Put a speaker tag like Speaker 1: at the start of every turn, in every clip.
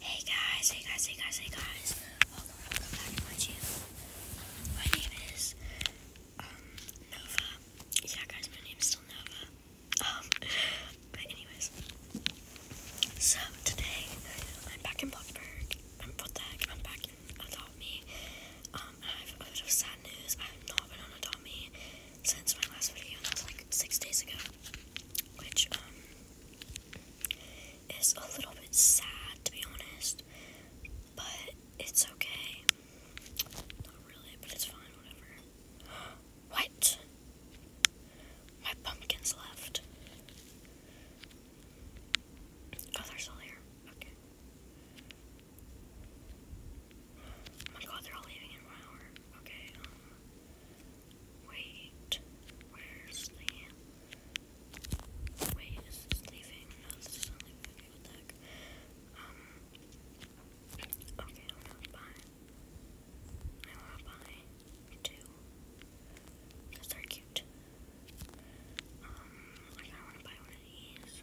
Speaker 1: Hey guys, hey guys, hey guys, hey guys. Welcome, welcome back to my channel. My name is, um, Nova. Yeah guys, my name is still Nova. Um, but anyways. So, today, I'm back in Bloxburg. I'm Protec. I'm back in Adopt Me. Um, I have a bit of sad news. I have not been on Adopt Me since my last video, was like six days ago, which um is a little bit sad to be honest, but it's okay. Not really, but it's fine, whatever. what? My pumpkins left. Oh, they're here. Okay. Oh my god, they're all leaving in one hour. Okay, um, Wait, where's the. Wait, is this leaving? No, this is not leaving. Okay, what Um. Okay, I'm gonna I wanna buy two. Because are cute. Um, like I wanna buy one of these.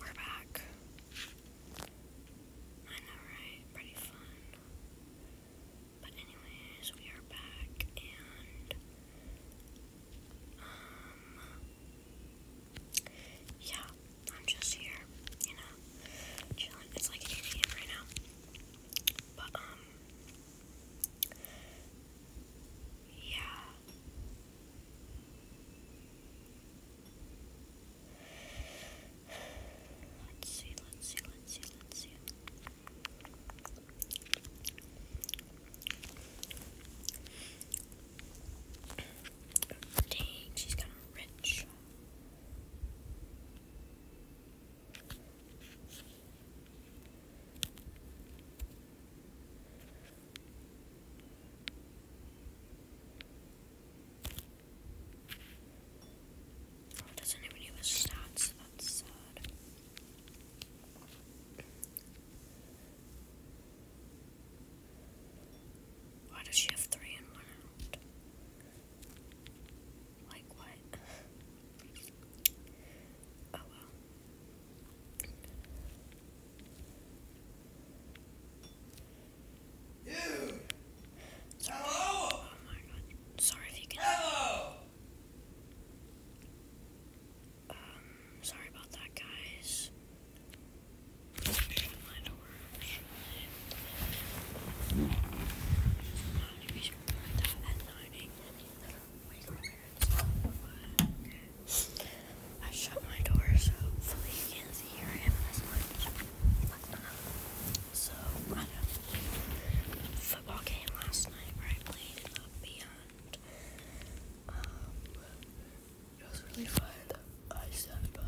Speaker 1: We're back. I know, right? Pretty fun. But anyways, we are back and um yeah, I'm just here, you know, chilling. It's like 8 right now. But um yeah, Let's see, let's see, let's see, let's see. Dang, she's kind of rich. Oh, doesn't even give stats, that's sad. Why does she have three in one out? Like what? Oh well. Hello. Oh my god. Sorry if you can. Hello. Um, sorry about that, guys. I shut my door so hopefully you can't see I am this much. So football game last night where I played in the beyond. Um, it was really fun. I sat by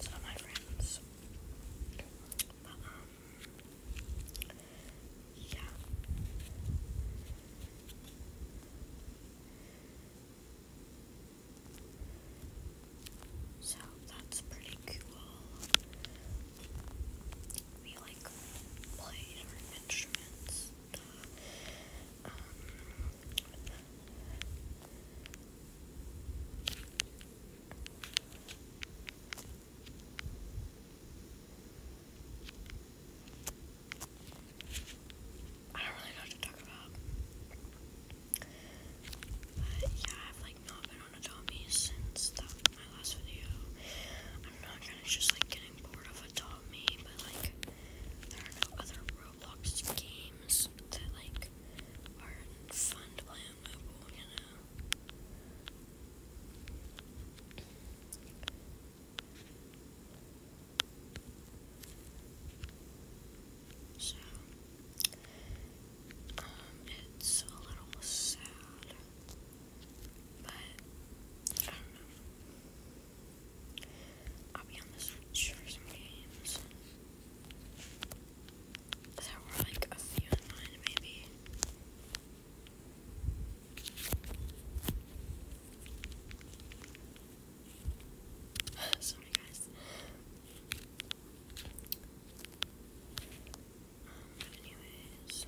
Speaker 1: some of my friends. Um, yeah. So that's pretty cool. We like played our instruments. Uh, um, I don't really know what to talk about. But yeah, I've like not been on Atami since that, my last video. I'm not gonna just like getting bored of Atami, but like there are no other Roblox games that like are fun to play on you so, um, it's a little sad, but I don't know. I'll be on the search for some games that were like a few in mind, maybe. Sorry, guys. anyways, so.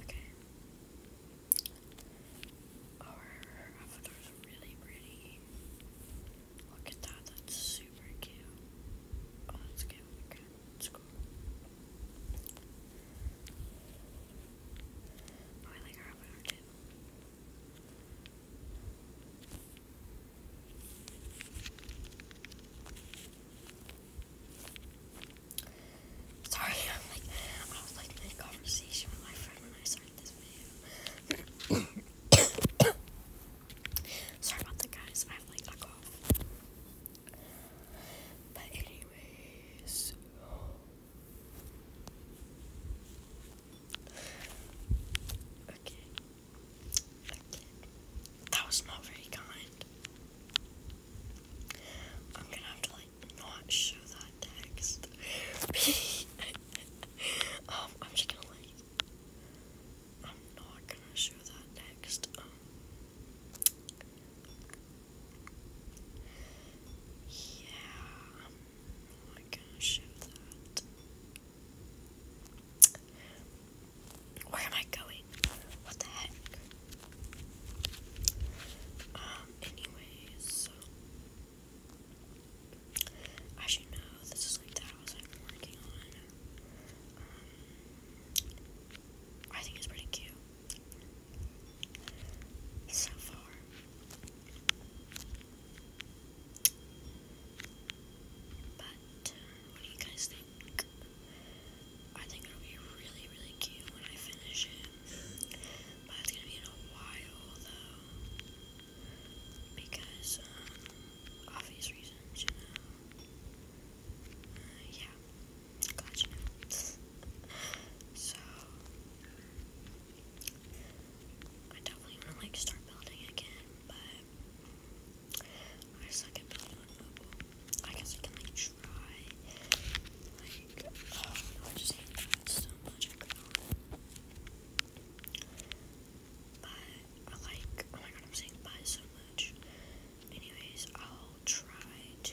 Speaker 1: Okay. Our avatar's really pretty. Look oh, at that, that's super cute. Oh, that's cute. that's cool. Oh, I like our avatar Sorry, I'm like, I was like in conversation with my friend when I started this video. Sorry about the guys. I have like a cough. But anyways. Okay. That was not very kind. I'm gonna have to like not show that text. um, I'm just gonna like I'm not gonna show that text. Um, yeah, Oh I'm not Where am I going? What the heck? Um, anyways, so as you know, this is like the I'm working on. Um, I think it's pretty cute so far. But uh, what do you guys think? I think it'll be really, really cute when I finish it. But it's gonna be in a while though. Because, um, obvious reasons, uh, yeah. Gotcha. so I definitely want to like start building again, but I suck at building I guess I can like try. Like, oh um, no, I just hate that so much. But I like, oh my god, I'm saying bye so much. Anyways, I'll try to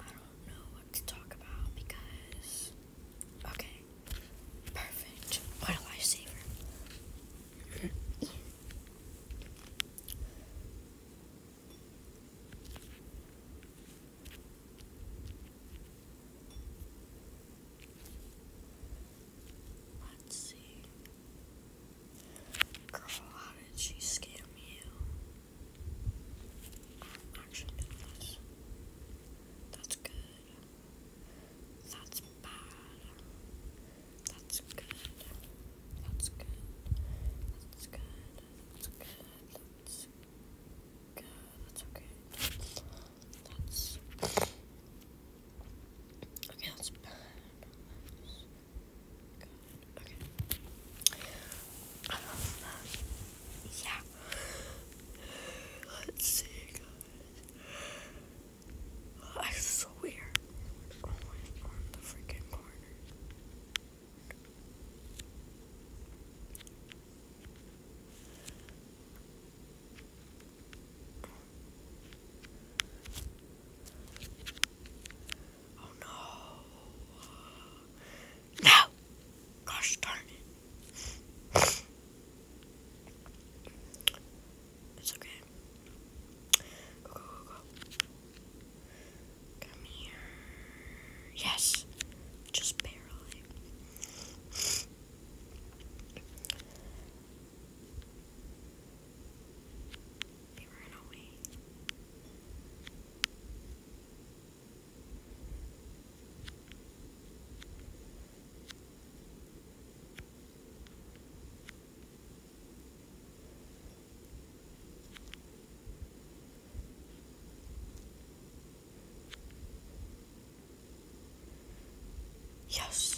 Speaker 1: I don't know what to talk about because. Okay. Perfect. What a lifesaver. Let's see. Girl, how did she scam you? I'm actually doing this. That's good. That's bad. That's good. That's good. That's good. That's good. That's good. That's okay. That's okay. That's bad. That's God. Okay. Um, yeah. Let's see, guys. I swear, always on Oh no. No! Gosh darn it. It's okay. Go, go, go, Come here. Yes. Just barely. They ran away. Yes.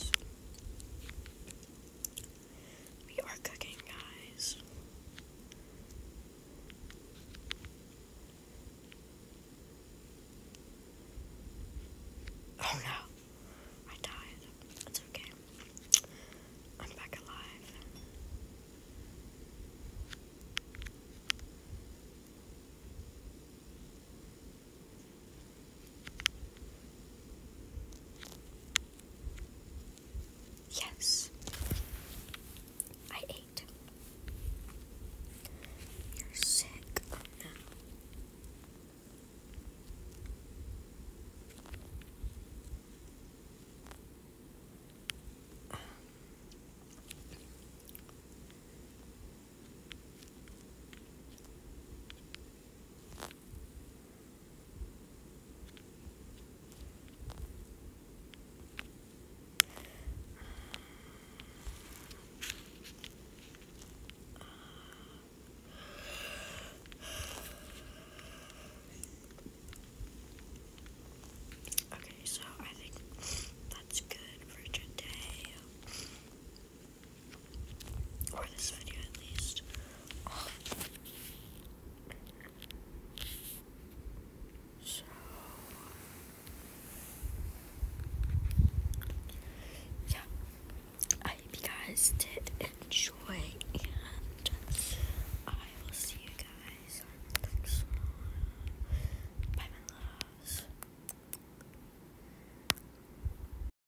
Speaker 1: We are cooking, guys. Oh no. I died. It's okay. I'm back alive. Yes, I ate. You're sick Okay, so I think that's good for today. Or this video at least. so yeah, I hope you guys did enjoy, and I will see you guys Bye, my loves.